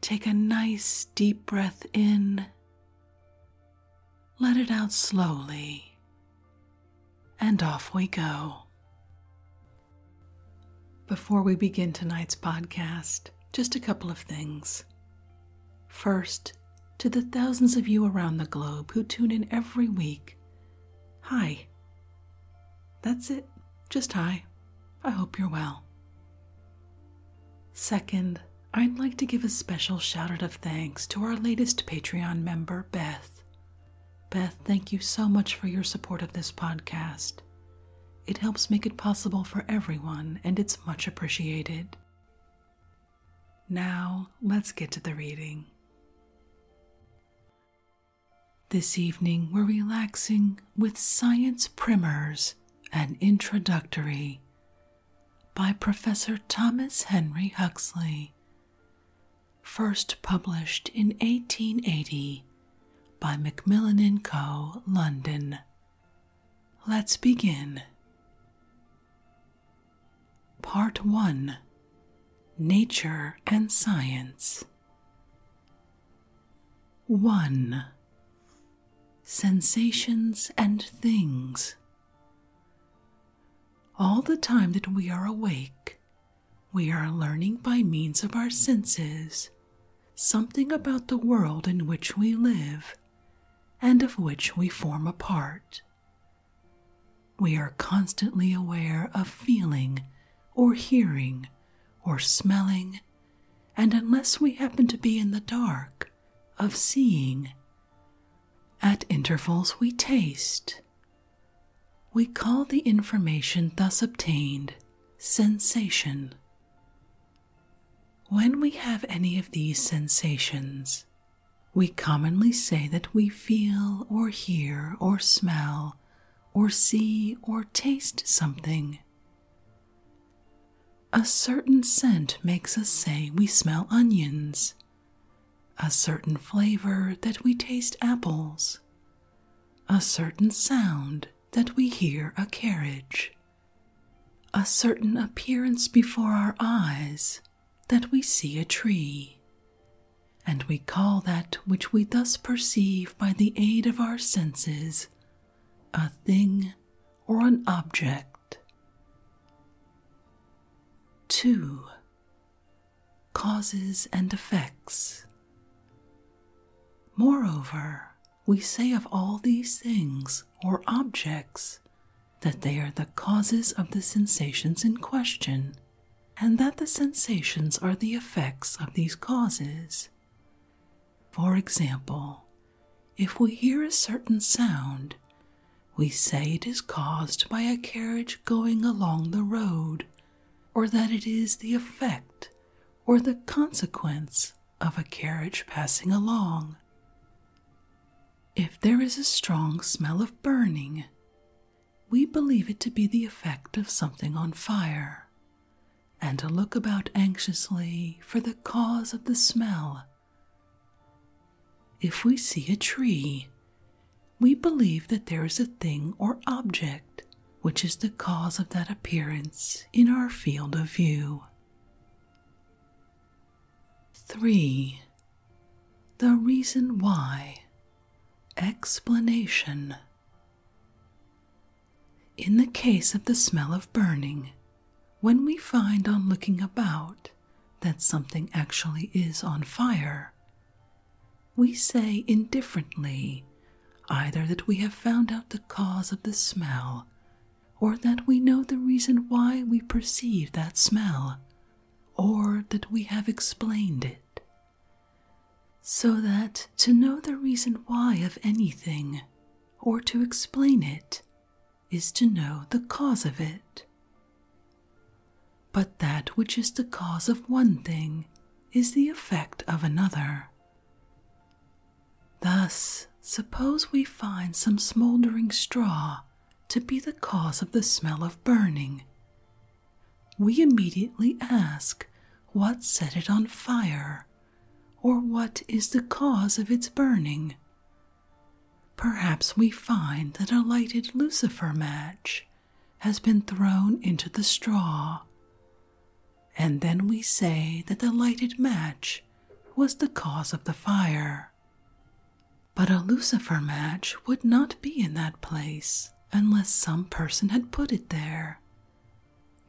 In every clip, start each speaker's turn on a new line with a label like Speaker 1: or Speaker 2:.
Speaker 1: Take a nice deep breath in, let it out slowly, and off we go. Before we begin tonight's podcast, just a couple of things. First, to the thousands of you around the globe who tune in every week, hi. That's it, just hi. I hope you're well. Second, I'd like to give a special shout out of thanks to our latest Patreon member, Beth. Beth, thank you so much for your support of this podcast. It helps make it possible for everyone, and it's much appreciated. Now, let's get to the reading. This evening, we're relaxing with science primers an Introductory by Professor Thomas Henry Huxley, first published in 1880 by Macmillan & Co., London. Let's begin. Part 1 Nature and Science 1. Sensations and things. All the time that we are awake, we are learning by means of our senses something about the world in which we live and of which we form a part. We are constantly aware of feeling or hearing or smelling and unless we happen to be in the dark, of seeing. At intervals, we taste. We call the information thus obtained sensation. When we have any of these sensations, we commonly say that we feel or hear or smell or see or taste something a certain scent makes us say we smell onions, a certain flavor that we taste apples, a certain sound that we hear a carriage, a certain appearance before our eyes that we see a tree. And we call that which we thus perceive by the aid of our senses a thing or an object. 2. Causes and effects. Moreover, we say of all these things or objects that they are the causes of the sensations in question, and that the sensations are the effects of these causes. For example, if we hear a certain sound, we say it is caused by a carriage going along the road, or that it is the effect or the consequence of a carriage passing along. If there is a strong smell of burning, we believe it to be the effect of something on fire, and to look about anxiously for the cause of the smell. If we see a tree, we believe that there is a thing or object which is the cause of that appearance in our field of view. 3. The reason why. Explanation. In the case of the smell of burning, when we find on looking about that something actually is on fire, we say indifferently either that we have found out the cause of the smell or that we know the reason why we perceive that smell or that we have explained it. So that to know the reason why of anything or to explain it is to know the cause of it. But that which is the cause of one thing is the effect of another. Thus, suppose we find some smoldering straw to be the cause of the smell of burning. We immediately ask what set it on fire, or what is the cause of its burning? Perhaps we find that a lighted lucifer match has been thrown into the straw, and then we say that the lighted match was the cause of the fire. But a lucifer match would not be in that place unless some person had put it there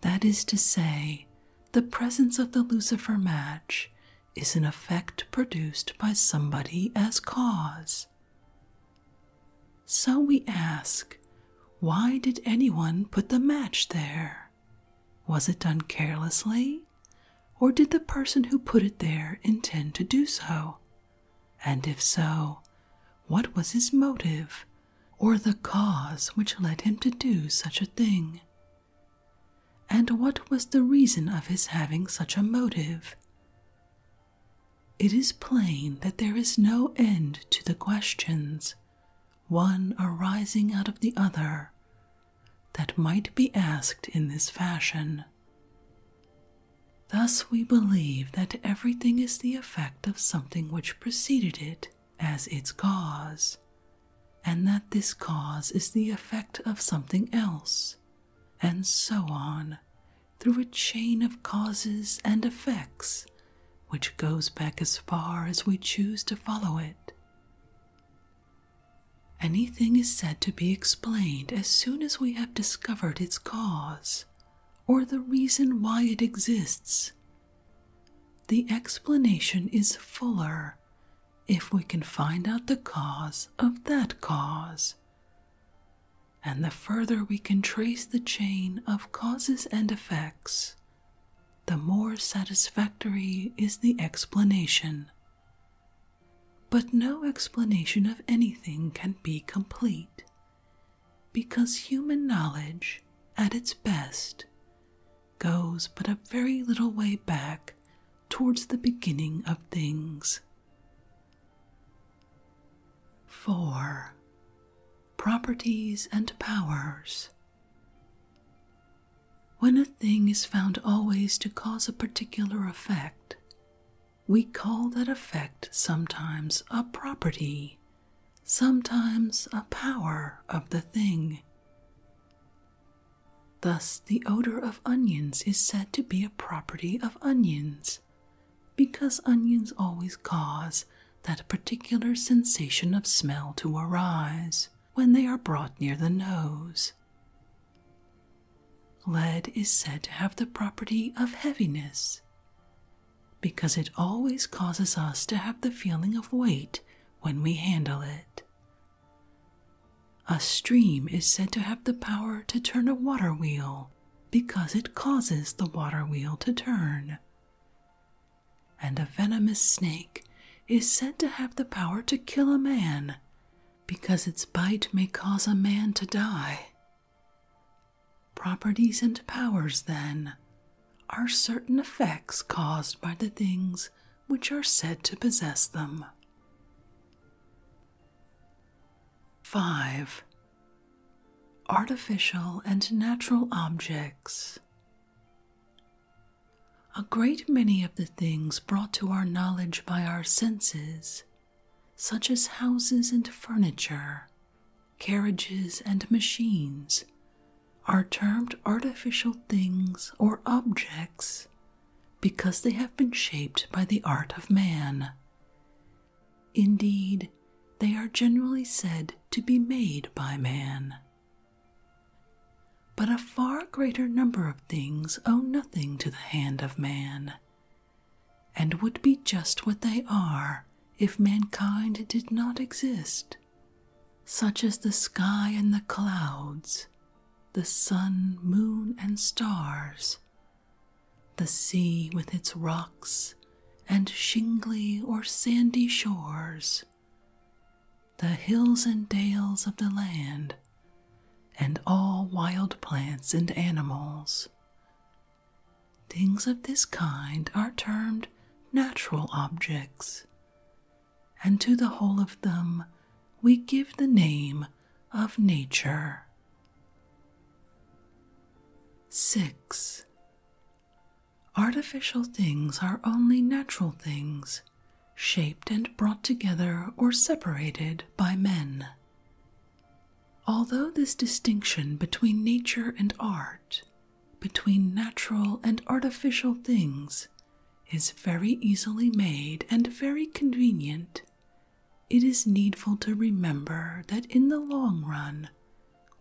Speaker 1: that is to say, the presence of the Lucifer match is an effect produced by somebody as cause. So we ask, why did anyone put the match there? Was it done carelessly? Or did the person who put it there intend to do so? And if so, what was his motive or the cause which led him to do such a thing? And what was the reason of his having such a motive? It is plain that there is no end to the questions, one arising out of the other, that might be asked in this fashion. Thus, we believe that everything is the effect of something which preceded it, as its cause, and that this cause is the effect of something else, and so on, through a chain of causes and effects which goes back as far as we choose to follow it. Anything is said to be explained as soon as we have discovered its cause, or the reason why it exists, the explanation is fuller if we can find out the cause of that cause. And the further we can trace the chain of causes and effects, the more satisfactory is the explanation. But no explanation of anything can be complete, because human knowledge, at its best, goes but a very little way back towards the beginning of things. 4. Properties and powers. When a thing is found always to cause a particular effect, we call that effect sometimes a property sometimes a power of the thing. Thus, the odor of onions is said to be a property of onions, because onions always cause that particular sensation of smell to arise when they are brought near the nose. Lead is said to have the property of heaviness, because it always causes us to have the feeling of weight when we handle it. A stream is said to have the power to turn a water wheel because it causes the water wheel to turn. And a venomous snake is said to have the power to kill a man because its bite may cause a man to die. Properties and powers, then, are certain effects caused by the things which are said to possess them. 5. Artificial and natural objects. A great many of the things brought to our knowledge by our senses, such as houses and furniture, carriages, and machines are termed artificial things or objects because they have been shaped by the art of man. Indeed, they are generally said to be made by man. But a far greater number of things owe nothing to the hand of man, and would be just what they are if mankind did not exist such as the sky and the clouds, the sun, moon, and stars, the sea with its rocks and shingly or sandy shores, the hills and dales of the land, and all wild plants and animals. Things of this kind are termed natural objects, and to the whole of them we give the name of nature. 6. Artificial things are only natural things, shaped and brought together or separated by men. Although this distinction between nature and art between natural and artificial things is very easily made and very convenient, it is needful to remember that in the long run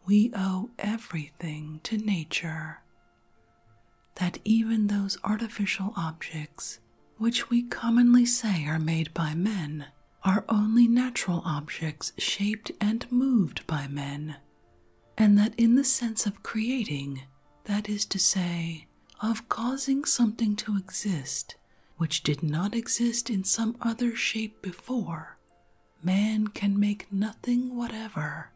Speaker 1: we owe everything to nature. That even those artificial objects which we commonly say are made by men are only natural objects shaped and moved by men and that in the sense of creating, that is to say, of causing something to exist which did not exist in some other shape before, man can make nothing whatever.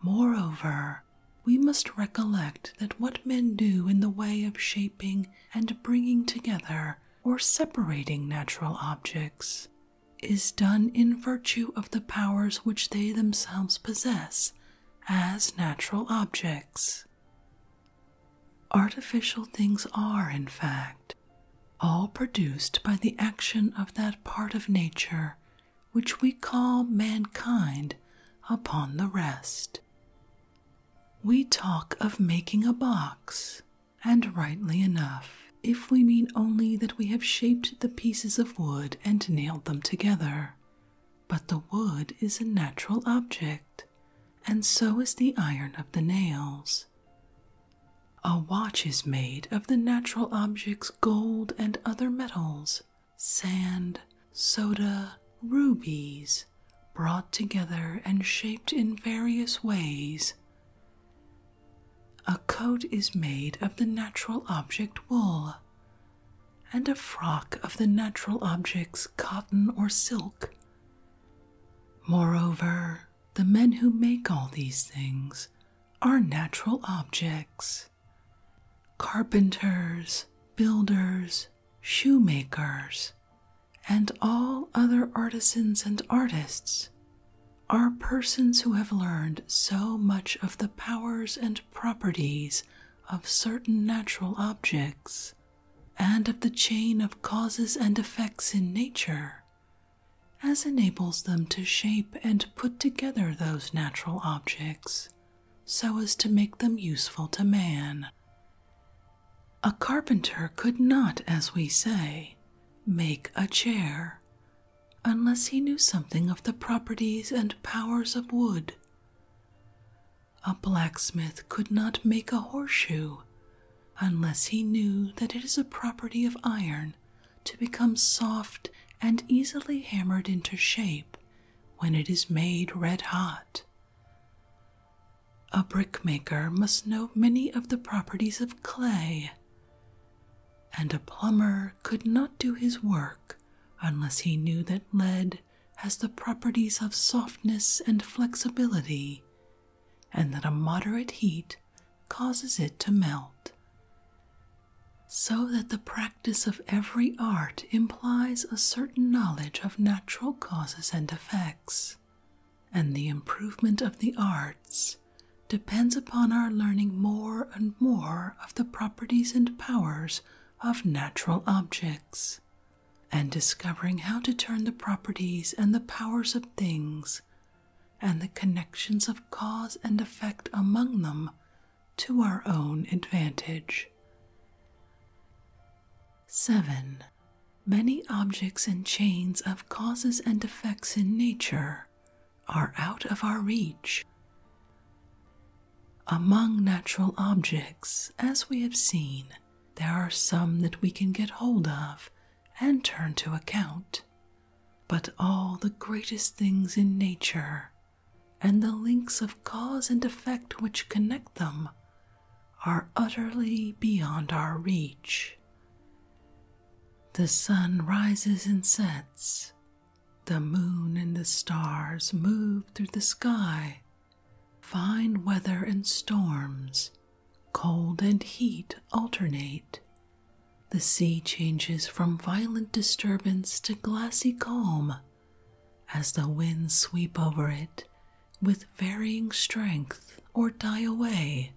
Speaker 1: Moreover, we must recollect that what men do in the way of shaping and bringing together or separating natural objects is done in virtue of the powers which they themselves possess as natural objects. Artificial things are, in fact, all produced by the action of that part of nature which we call mankind upon the rest. We talk of making a box and rightly enough, if we mean only that we have shaped the pieces of wood and nailed them together. But the wood is a natural object, and so is the iron of the nails. A watch is made of the natural objects gold and other metals, sand, soda, rubies, brought together and shaped in various ways. A coat is made of the natural object wool, and a frock of the natural objects cotton or silk. Moreover, the men who make all these things are natural objects. Carpenters, builders, shoemakers, and all other artisans and artists are persons who have learned so much of the powers and properties of certain natural objects and of the chain of causes and effects in nature as enables them to shape and put together those natural objects so as to make them useful to man. A carpenter could not, as we say, make a chair unless he knew something of the properties and powers of wood. A blacksmith could not make a horseshoe unless he knew that it is a property of iron to become soft and easily hammered into shape when it is made red hot. A brickmaker must know many of the properties of clay and a plumber could not do his work unless he knew that lead has the properties of softness and flexibility, and that a moderate heat causes it to melt. So that the practice of every art implies a certain knowledge of natural causes and effects, and the improvement of the arts depends upon our learning more and more of the properties and powers of natural objects, and discovering how to turn the properties and the powers of things and the connections of cause and effect among them to our own advantage. 7. Many objects and chains of causes and effects in nature are out of our reach. Among natural objects, as we have seen, there are some that we can get hold of and turn to account, but all the greatest things in nature and the links of cause and effect which connect them are utterly beyond our reach. The sun rises and sets. The moon and the stars move through the sky. Fine weather and storms, cold and heat alternate. The sea changes from violent disturbance to glassy calm as the winds sweep over it with varying strength or die away,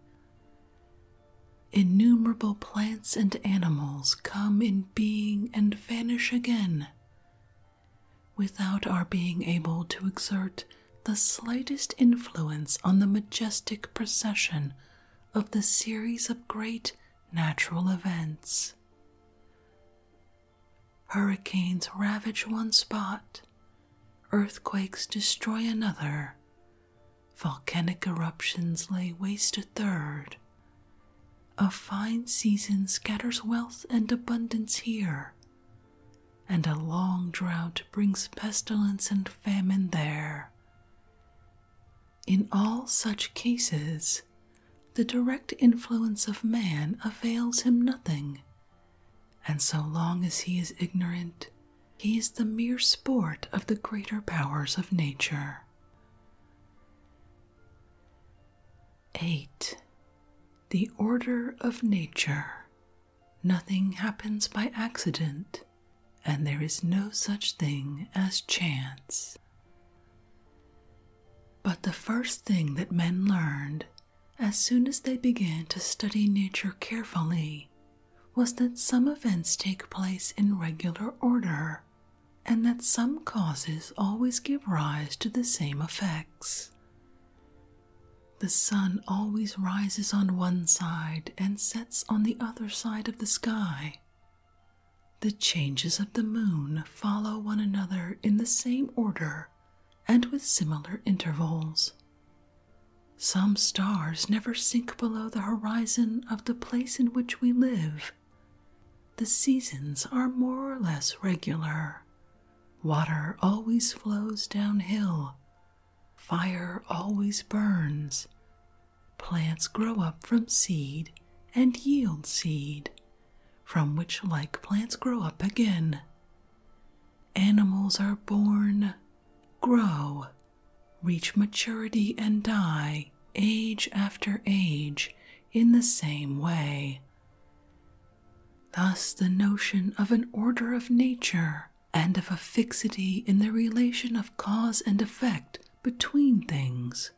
Speaker 1: Innumerable plants and animals come in being and vanish again without our being able to exert the slightest influence on the majestic procession of the series of great natural events. Hurricanes ravage one spot, earthquakes destroy another. Volcanic eruptions lay waste a third. A fine season scatters wealth and abundance here, and a long drought brings pestilence and famine there. In all such cases, the direct influence of man avails him nothing, and so long as he is ignorant, he is the mere sport of the greater powers of nature. 8. The order of nature. Nothing happens by accident, and there is no such thing as chance. But the first thing that men learned as soon as they began to study nature carefully was that some events take place in regular order, and that some causes always give rise to the same effects. The sun always rises on one side and sets on the other side of the sky. The changes of the moon follow one another in the same order and with similar intervals. Some stars never sink below the horizon of the place in which we live. The seasons are more or less regular. Water always flows downhill. Fire always burns. Plants grow up from seed and yield seed, from which like plants grow up again. Animals are born, grow, reach maturity and die age after age in the same way. Thus, the notion of an order of nature and of a fixity in the relation of cause and effect between things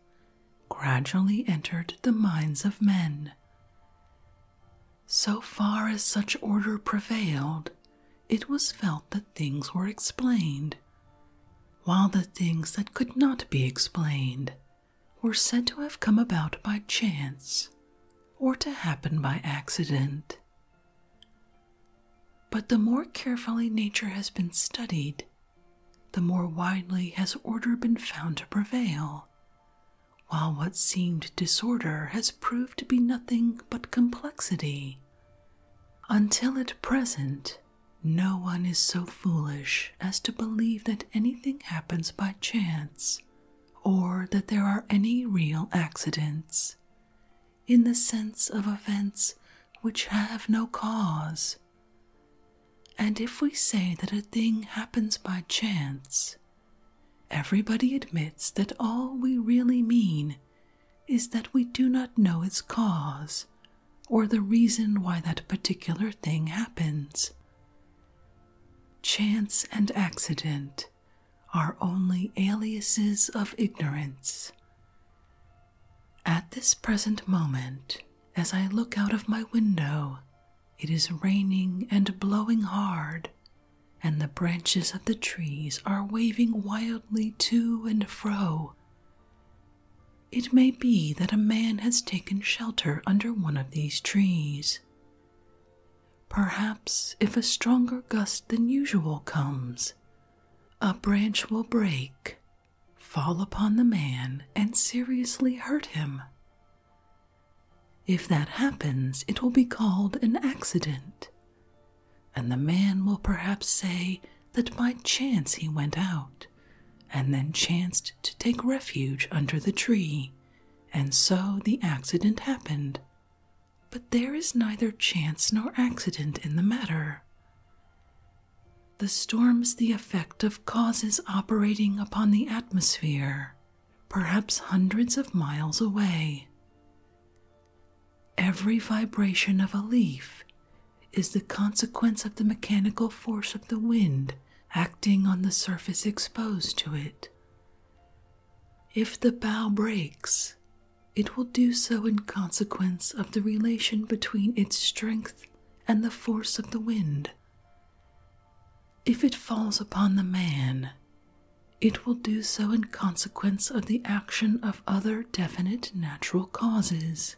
Speaker 1: gradually entered the minds of men. So far as such order prevailed, it was felt that things were explained, while the things that could not be explained were said to have come about by chance or to happen by accident. But the more carefully nature has been studied, the more widely has order been found to prevail, while what seemed disorder has proved to be nothing but complexity. Until at present, no one is so foolish as to believe that anything happens by chance or that there are any real accidents, in the sense of events which have no cause. And if we say that a thing happens by chance, everybody admits that all we really mean is that we do not know its cause or the reason why that particular thing happens. Chance and accident are only aliases of ignorance. At this present moment, as I look out of my window, it is raining and blowing hard and the branches of the trees are waving wildly to and fro. It may be that a man has taken shelter under one of these trees. Perhaps if a stronger gust than usual comes, a branch will break, fall upon the man, and seriously hurt him. If that happens, it will be called an accident and the man will perhaps say that by chance he went out, and then chanced to take refuge under the tree, and so the accident happened. But there is neither chance nor accident in the matter. The storm's the effect of causes operating upon the atmosphere, perhaps hundreds of miles away. Every vibration of a leaf is the consequence of the mechanical force of the wind acting on the surface exposed to it. If the bow breaks, it will do so in consequence of the relation between its strength and the force of the wind. If it falls upon the man, it will do so in consequence of the action of other definite natural causes,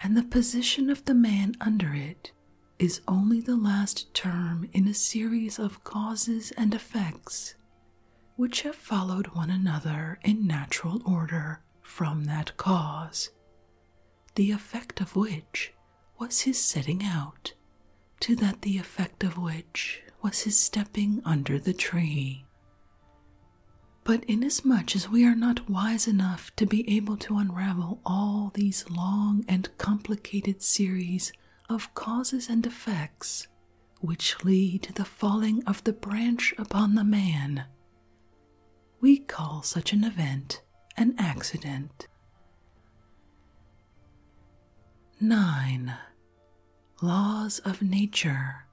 Speaker 1: and the position of the man under it is only the last term in a series of causes and effects which have followed one another in natural order from that cause, the effect of which was his setting out, to that the effect of which was his stepping under the tree. But inasmuch as we are not wise enough to be able to unravel all these long and complicated series of causes and effects which lead to the falling of the branch upon the man, we call such an event an accident. 9. Laws of nature.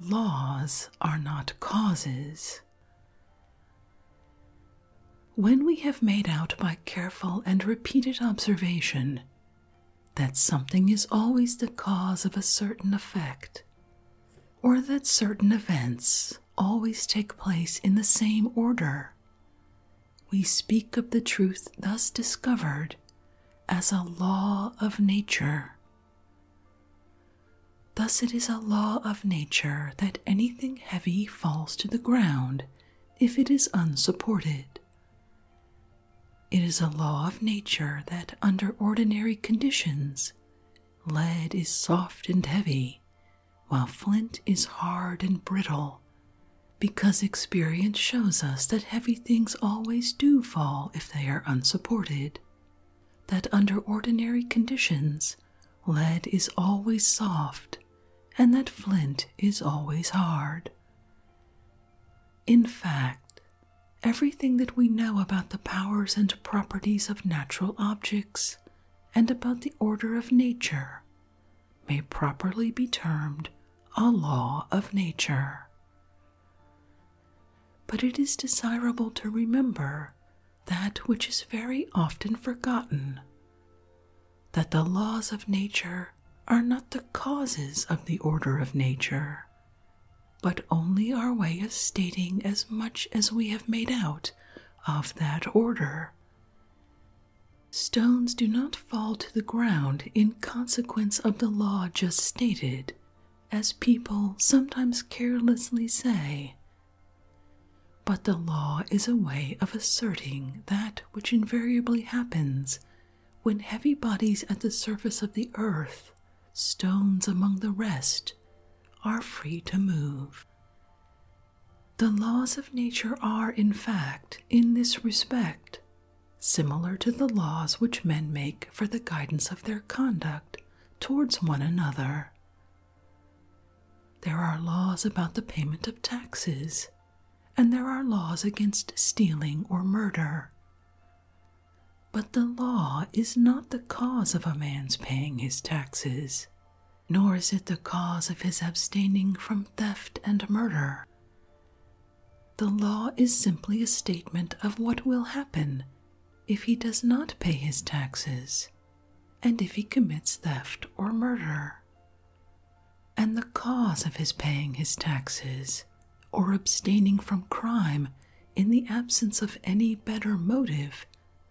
Speaker 1: Laws are not causes. When we have made out by careful and repeated observation that something is always the cause of a certain effect, or that certain events always take place in the same order, we speak of the truth thus discovered as a law of nature. Thus, it is a law of nature that anything heavy falls to the ground if it is unsupported. It is a law of nature that, under ordinary conditions, lead is soft and heavy, while flint is hard and brittle because experience shows us that heavy things always do fall if they are unsupported, that under ordinary conditions lead is always soft, and that flint is always hard. In fact, everything that we know about the powers and properties of natural objects and about the order of nature may properly be termed a law of nature. But it is desirable to remember that which is very often forgotten that the laws of nature are not the causes of the order of nature, but only our way of stating as much as we have made out of that order. Stones do not fall to the ground in consequence of the law just stated, as people sometimes carelessly say. But the law is a way of asserting that which invariably happens when heavy bodies at the surface of the earth, stones among the rest, are free to move. The laws of nature are, in fact, in this respect, similar to the laws which men make for the guidance of their conduct towards one another. There are laws about the payment of taxes, and there are laws against stealing or murder. But the law is not the cause of a man's paying his taxes, nor is it the cause of his abstaining from theft and murder. The law is simply a statement of what will happen if he does not pay his taxes and if he commits theft or murder. And the cause of his paying his taxes or abstaining from crime in the absence of any better motive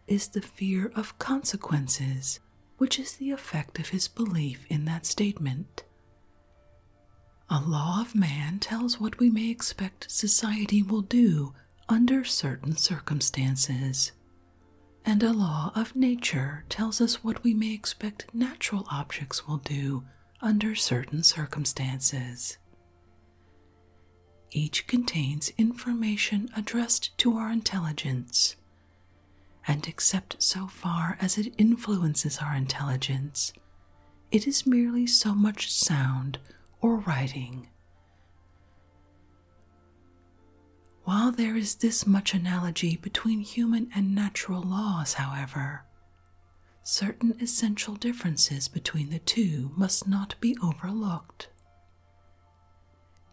Speaker 1: is the fear of consequences, which is the effect of his belief in that statement. A law of man tells what we may expect society will do under certain circumstances, and a law of nature tells us what we may expect natural objects will do under certain circumstances. Each contains information addressed to our intelligence, and except so far as it influences our intelligence, it is merely so much sound or writing. While there is this much analogy between human and natural laws, however, certain essential differences between the two must not be overlooked.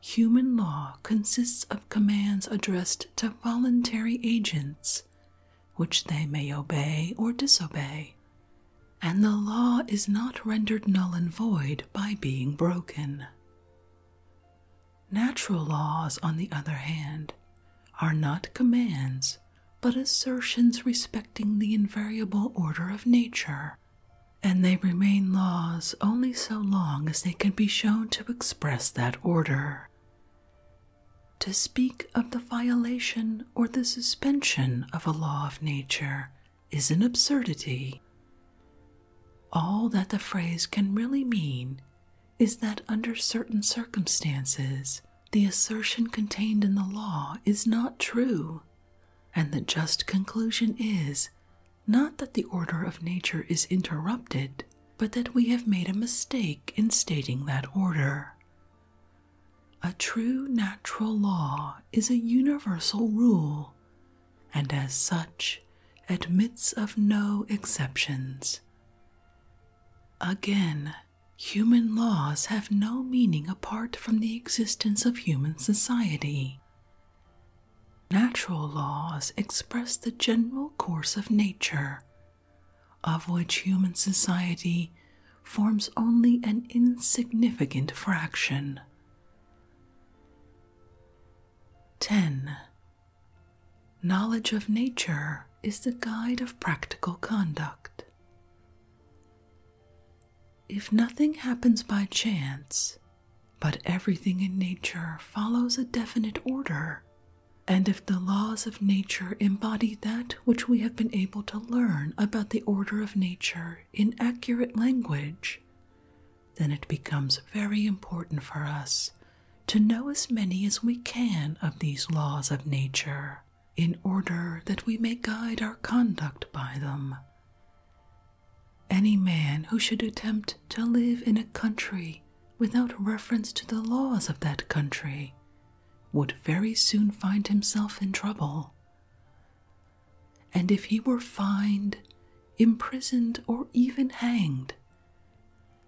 Speaker 1: Human law consists of commands addressed to voluntary agents which they may obey or disobey, and the law is not rendered null and void by being broken. Natural laws, on the other hand, are not commands but assertions respecting the invariable order of nature, and they remain laws only so long as they can be shown to express that order to speak of the violation or the suspension of a law of nature is an absurdity. All that the phrase can really mean is that under certain circumstances, the assertion contained in the law is not true, and the just conclusion is not that the order of nature is interrupted, but that we have made a mistake in stating that order. A true natural law is a universal rule, and as such admits of no exceptions. Again, human laws have no meaning apart from the existence of human society. Natural laws express the general course of nature of which human society forms only an insignificant fraction. 10. Knowledge of nature is the guide of practical conduct. If nothing happens by chance, but everything in nature follows a definite order, and if the laws of nature embody that which we have been able to learn about the order of nature in accurate language, then it becomes very important for us to know as many as we can of these laws of nature in order that we may guide our conduct by them. Any man who should attempt to live in a country without reference to the laws of that country, would very soon find himself in trouble. And if he were fined, imprisoned, or even hanged,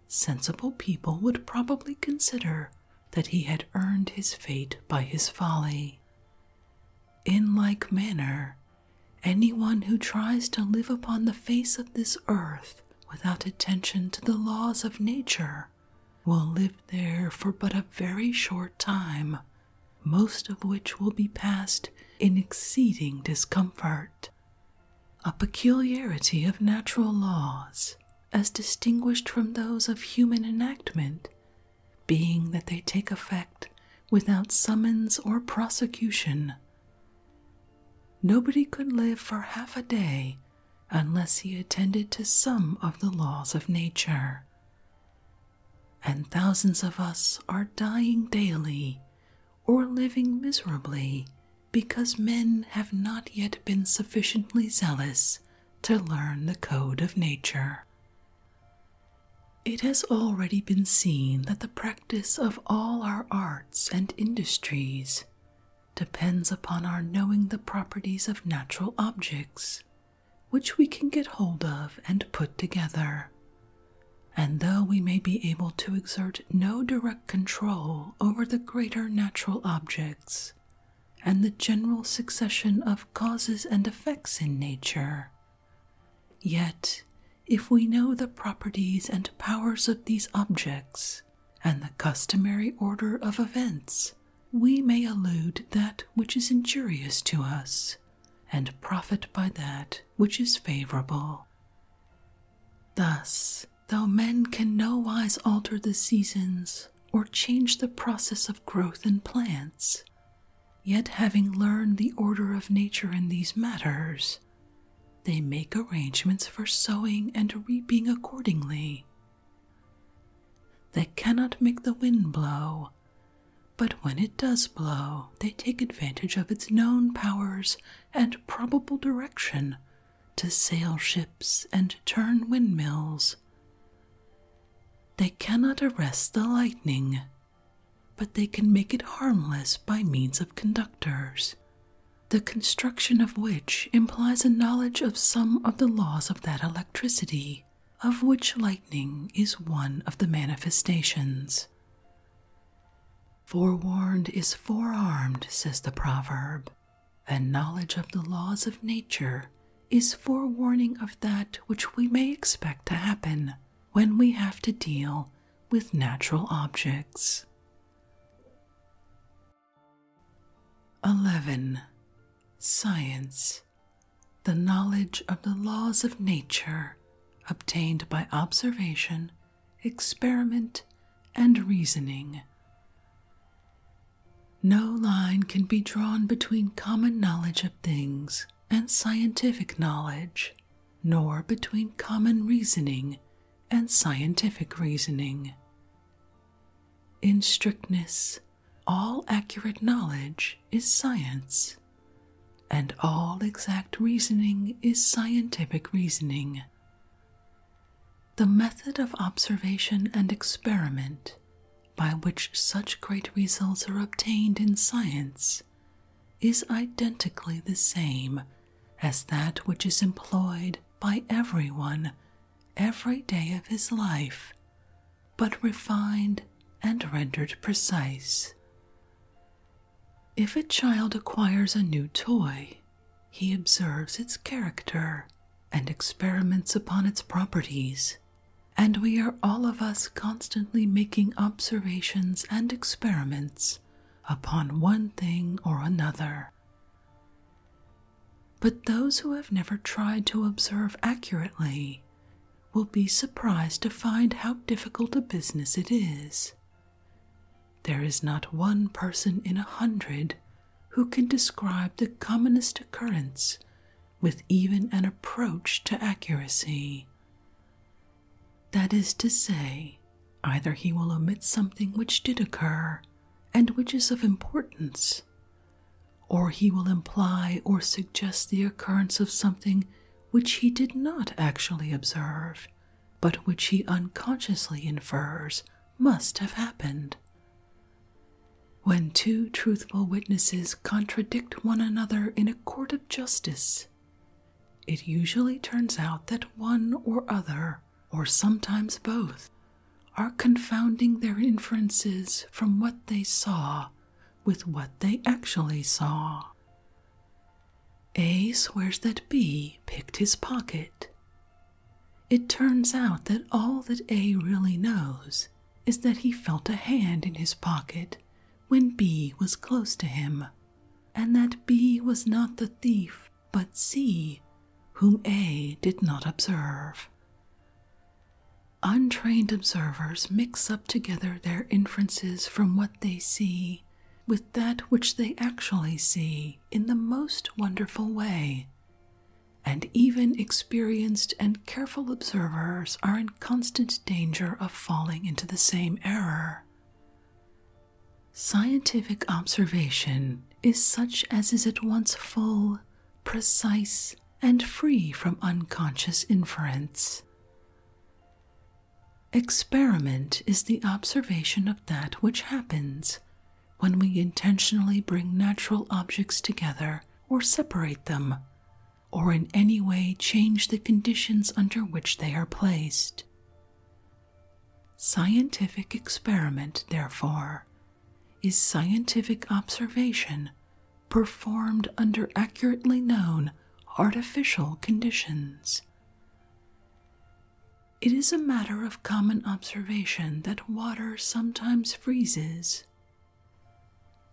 Speaker 1: sensible people would probably consider that he had earned his fate by his folly. In like manner, anyone who tries to live upon the face of this earth without attention to the laws of nature will live there for but a very short time, most of which will be passed in exceeding discomfort. A peculiarity of natural laws, as distinguished from those of human enactment, being that they take effect without summons or prosecution. Nobody could live for half a day unless he attended to some of the laws of nature. And thousands of us are dying daily or living miserably because men have not yet been sufficiently zealous to learn the code of nature. It has already been seen that the practice of all our arts and industries depends upon our knowing the properties of natural objects, which we can get hold of and put together. And though we may be able to exert no direct control over the greater natural objects and the general succession of causes and effects in nature, yet if we know the properties and powers of these objects, and the customary order of events, we may elude that which is injurious to us and profit by that which is favorable. Thus, though men can nowise alter the seasons or change the process of growth in plants, yet having learned the order of nature in these matters, they make arrangements for sowing and reaping accordingly. They cannot make the wind blow, but when it does blow, they take advantage of its known powers and probable direction to sail ships and turn windmills. They cannot arrest the lightning, but they can make it harmless by means of conductors the construction of which implies a knowledge of some of the laws of that electricity, of which lightning is one of the manifestations. Forewarned is forearmed, says the proverb, and knowledge of the laws of nature is forewarning of that which we may expect to happen when we have to deal with natural objects. 11. Science. The knowledge of the laws of nature obtained by observation, experiment, and reasoning. No line can be drawn between common knowledge of things and scientific knowledge, nor between common reasoning and scientific reasoning. In strictness, all accurate knowledge is science, and all exact reasoning is scientific reasoning. The method of observation and experiment by which such great results are obtained in science is identically the same as that which is employed by everyone every day of his life, but refined and rendered precise. If a child acquires a new toy, he observes its character and experiments upon its properties, and we are all of us constantly making observations and experiments upon one thing or another. But those who have never tried to observe accurately will be surprised to find how difficult a business it is. There is not one person in a hundred who can describe the commonest occurrence with even an approach to accuracy. That is to say, Either he will omit something which did occur and which is of importance, or he will imply or suggest the occurrence of something which he did not actually observe, but which he unconsciously infers must have happened. When two truthful witnesses contradict one another in a court of justice, it usually turns out that one or other or sometimes both, are confounding their inferences from what they saw with what they actually saw. A swears that B picked his pocket. It turns out that all that A really knows is that he felt a hand in his pocket when B was close to him, and that B was not the thief but C, whom A did not observe. Untrained observers mix up together their inferences from what they see with that which they actually see in the most wonderful way, and even experienced and careful observers are in constant danger of falling into the same error. Scientific observation is such as is at once full, precise, and free from unconscious inference. Experiment is the observation of that which happens when we intentionally bring natural objects together or separate them, or in any way change the conditions under which they are placed. Scientific experiment, therefore, is scientific observation performed under accurately known artificial conditions. It is a matter of common observation that water sometimes freezes.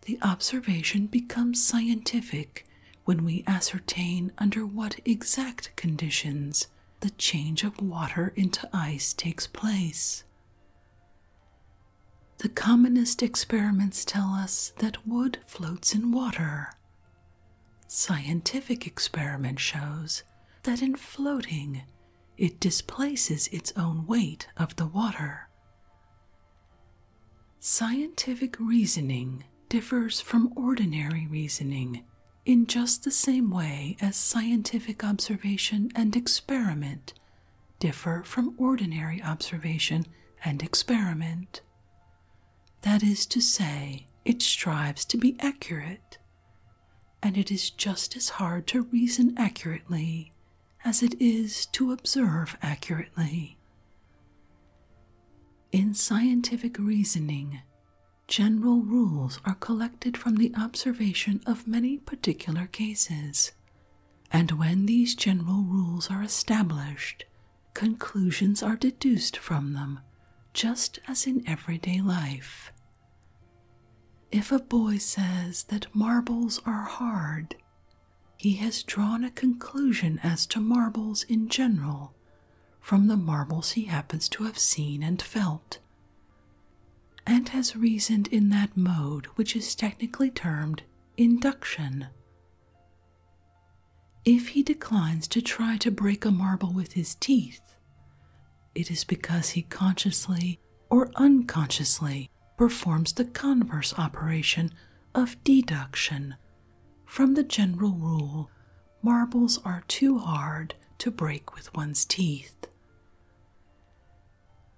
Speaker 1: The observation becomes scientific when we ascertain under what exact conditions the change of water into ice takes place. The commonest experiments tell us that wood floats in water. Scientific experiment shows that in floating, it displaces its own weight of the water. Scientific reasoning differs from ordinary reasoning in just the same way as scientific observation and experiment differ from ordinary observation and experiment. That is to say, it strives to be accurate, and it is just as hard to reason accurately as it is to observe accurately. In scientific reasoning, General rules are collected from the observation of many particular cases, and when these general rules are established, conclusions are deduced from them, just as in everyday life. If a boy says that marbles are hard, he has drawn a conclusion as to marbles in general from the marbles he happens to have seen and felt, and has reasoned in that mode which is technically termed induction. If he declines to try to break a marble with his teeth, it is because he consciously or unconsciously performs the converse operation of deduction from the general rule marbles are too hard to break with one's teeth.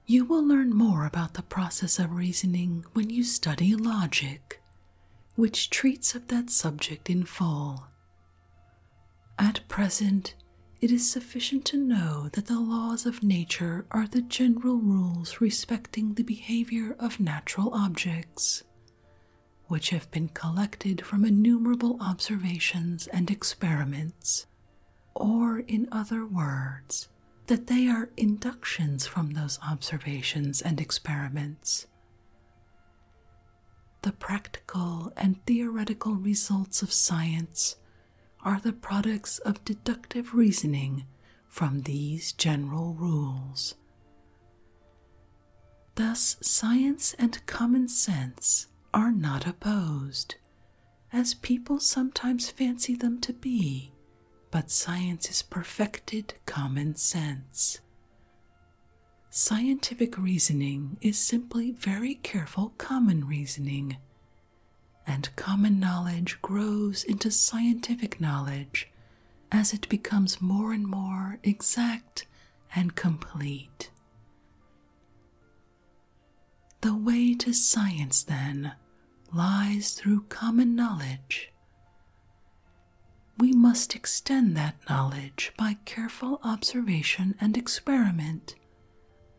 Speaker 1: You will learn more about the process of reasoning when you study logic, which treats of that subject in full. At present, it is sufficient to know that the laws of nature are the general rules respecting the behavior of natural objects, which have been collected from innumerable observations and experiments, or, in other words, that they are inductions from those observations and experiments. The practical and theoretical results of science are the products of deductive reasoning from these general rules. Thus, science and common sense are not opposed, as people sometimes fancy them to be, but science is perfected common sense. Scientific reasoning is simply very careful common reasoning, and common knowledge grows into scientific knowledge as it becomes more and more exact and complete. The way to science, then, lies through common knowledge. We must extend that knowledge by careful observation and experiment,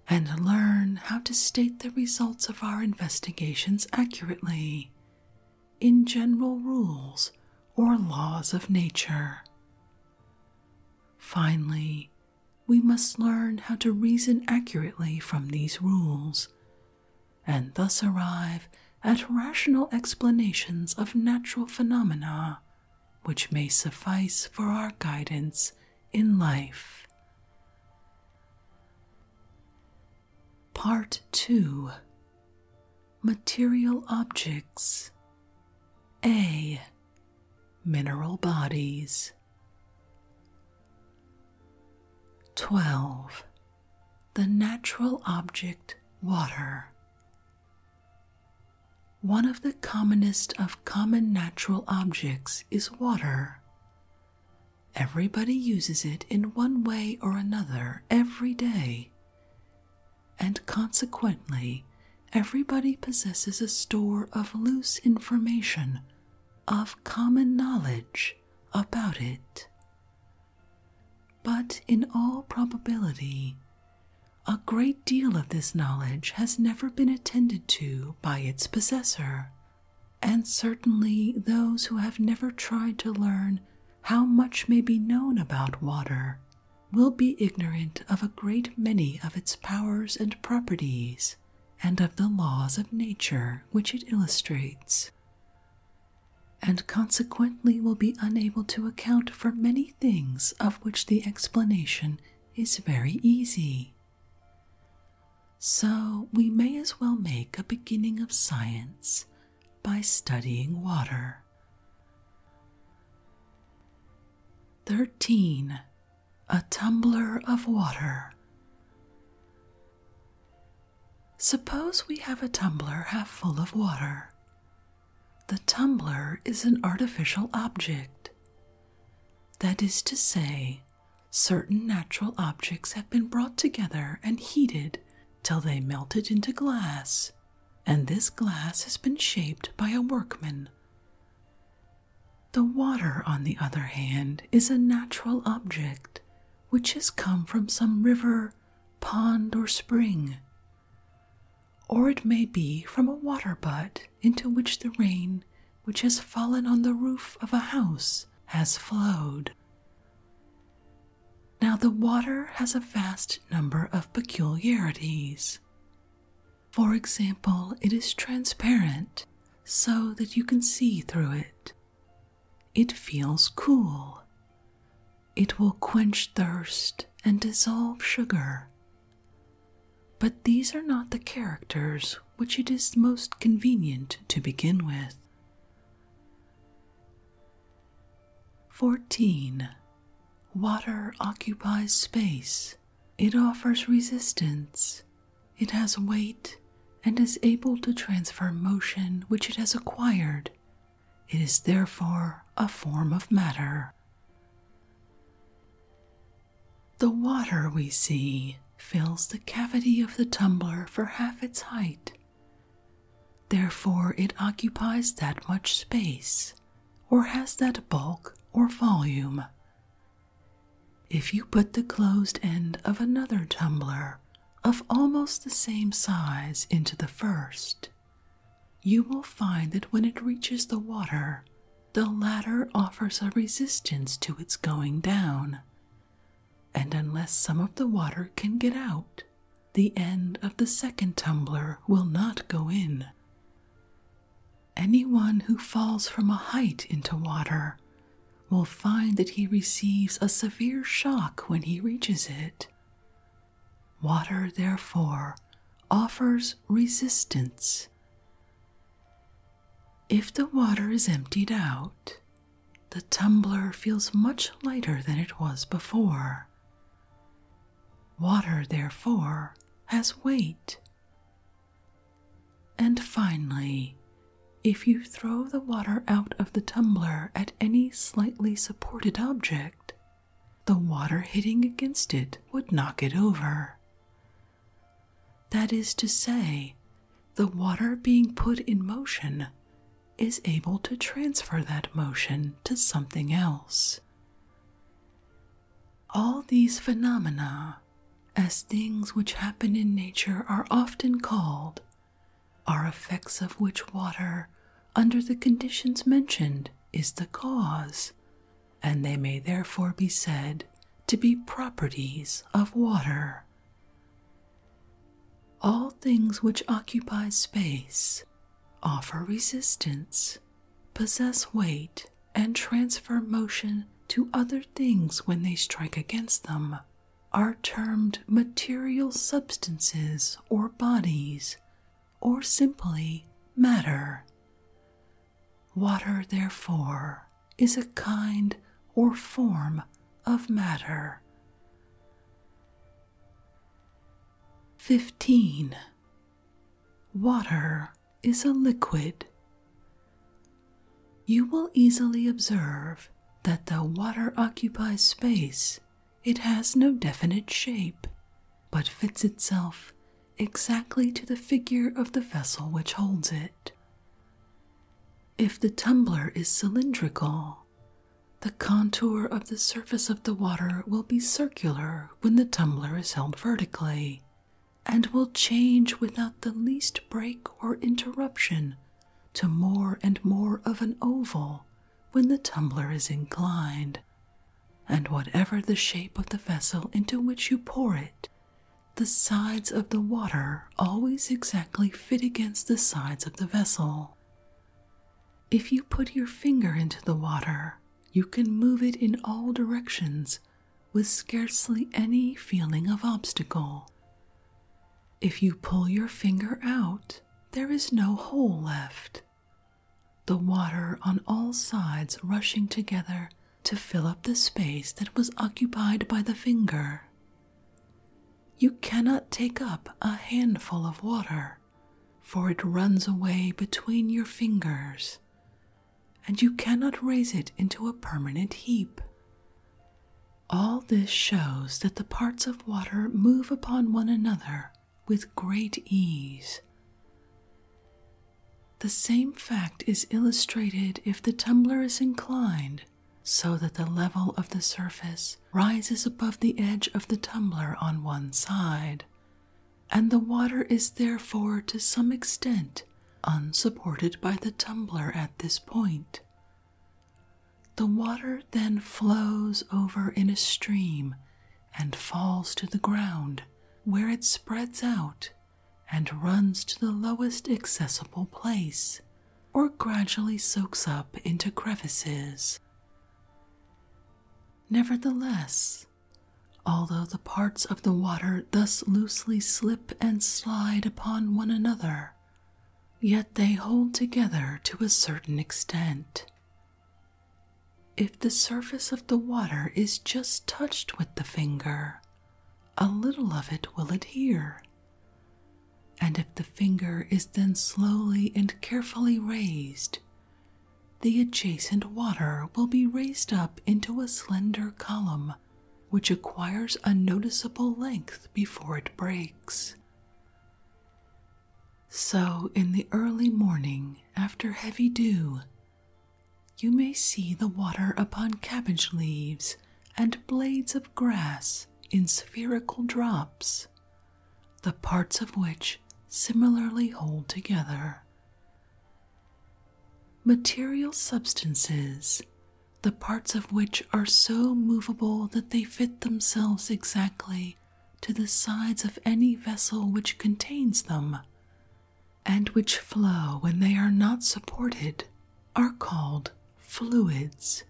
Speaker 1: and learn how to state the results of our investigations accurately in general rules or laws of nature. Finally, we must learn how to reason accurately from these rules, and thus arrive at rational explanations of natural phenomena which may suffice for our guidance in life. Part 2 material objects. A. Mineral bodies. 12. The natural object water. One of the commonest of common natural objects is water. Everybody uses it in one way or another every day and consequently, everybody possesses a store of loose information, of common knowledge about it. But in all probability, a great deal of this knowledge has never been attended to by its possessor, and certainly those who have never tried to learn how much may be known about water will be ignorant of a great many of its powers and properties, and of the laws of nature which it illustrates, and consequently will be unable to account for many things of which the explanation is very easy. So we may as well make a beginning of science by studying water. 13. A tumbler of water. Suppose we have a tumbler half full of water. The tumbler is an artificial object. That is to say, certain natural objects have been brought together and heated till they melted into glass and this glass has been shaped by a workman. The water, on the other hand, is a natural object which has come from some river, pond, or spring. Or it may be from a water butt into which the rain which has fallen on the roof of a house has flowed. Now, the water has a vast number of peculiarities. For example, it is transparent so that you can see through it. It feels cool. It will quench thirst and dissolve sugar. But these are not the characters which it is most convenient to begin with. 14. Water occupies space, it offers resistance, it has weight, and is able to transfer motion which it has acquired. It is therefore a form of matter. The water we see fills the cavity of the tumbler for half its height. Therefore, it occupies that much space, or has that bulk or volume. If you put the closed end of another tumbler of almost the same size into the first, you will find that when it reaches the water, the latter offers a resistance to its going down, and unless some of the water can get out, the end of the second tumbler will not go in. Anyone who falls from a height into water will find that he receives a severe shock when he reaches it. Water, therefore, offers resistance. If the water is emptied out, the tumbler feels much lighter than it was before. Water, therefore, has weight. And finally, if you throw the water out of the tumbler at any slightly supported object, the water hitting against it would knock it over. That is to say, the water being put in motion is able to transfer that motion to something else. All these phenomena, as things which happen in nature are often called, are effects of which water, under the conditions mentioned, is the cause, and they may therefore be said to be properties of water. All things which occupy space offer resistance, possess weight, and transfer motion to other things when they strike against them, are termed material substances or bodies, or simply matter. Water, therefore, is a kind or form of matter. 15. Water is a liquid. You will easily observe that though water occupies space, it has no definite shape, but fits itself exactly to the figure of the vessel which holds it. If the tumbler is cylindrical, the contour of the surface of the water will be circular when the tumbler is held vertically and will change without the least break or interruption to more and more of an oval when the tumbler is inclined. And whatever the shape of the vessel into which you pour it, the sides of the water always exactly fit against the sides of the vessel. If you put your finger into the water, you can move it in all directions with scarcely any feeling of obstacle. If you pull your finger out, there is no hole left, the water on all sides rushing together to fill up the space that was occupied by the finger. You cannot take up a handful of water for it runs away between your fingers, and you cannot raise it into a permanent heap. All this shows that the parts of water move upon one another with great ease. The same fact is illustrated if the tumbler is inclined so that the level of the surface rises above the edge of the tumbler on one side, and the water is therefore to some extent unsupported by the tumbler at this point. The water then flows over in a stream and falls to the ground, where it spreads out and runs to the lowest accessible place, or gradually soaks up into crevices. Nevertheless, although the parts of the water thus loosely slip and slide upon one another, yet they hold together to a certain extent. If the surface of the water is just touched with the finger, a little of it will adhere. And if the finger is then slowly and carefully raised, the adjacent water will be raised up into a slender column, which acquires a noticeable length before it breaks. So, in the early morning, after heavy dew, you may see the water upon cabbage leaves and blades of grass in spherical drops, the parts of which similarly hold together. Material substances, the parts of which are so movable that they fit themselves exactly to the sides of any vessel which contains them, and which flow when they are not supported, are called fluids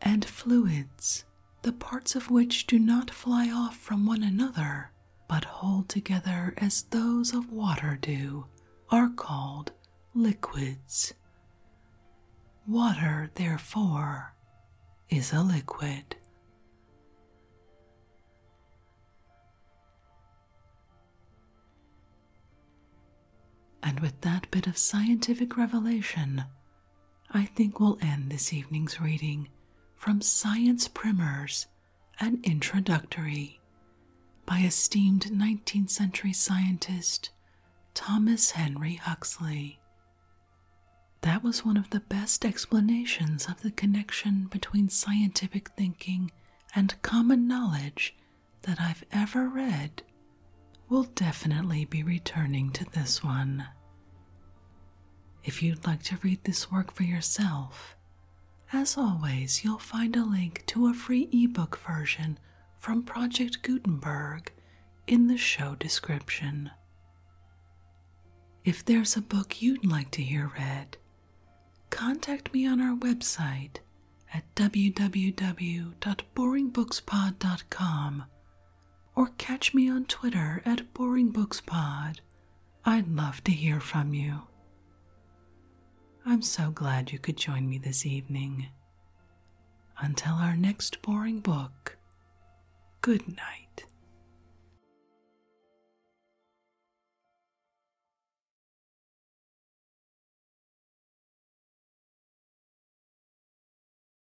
Speaker 1: and fluids, the parts of which do not fly off from one another, but hold together as those of water do, are called liquids. Water, therefore, is a liquid. And with that bit of scientific revelation, I think we'll end this evening's reading from Science Primers An Introductory by esteemed 19th century scientist Thomas Henry Huxley. That was one of the best explanations of the connection between scientific thinking and common knowledge that I've ever read. We'll definitely be returning to this one. If you'd like to read this work for yourself, as always, you'll find a link to a free ebook version from Project Gutenberg in the show description. If there's a book you'd like to hear read, contact me on our website at www.boringbookspod.com or catch me on Twitter at Boring Books Pod. I'd love to hear from you. I'm so glad you could join me this evening. Until our next boring book, good night.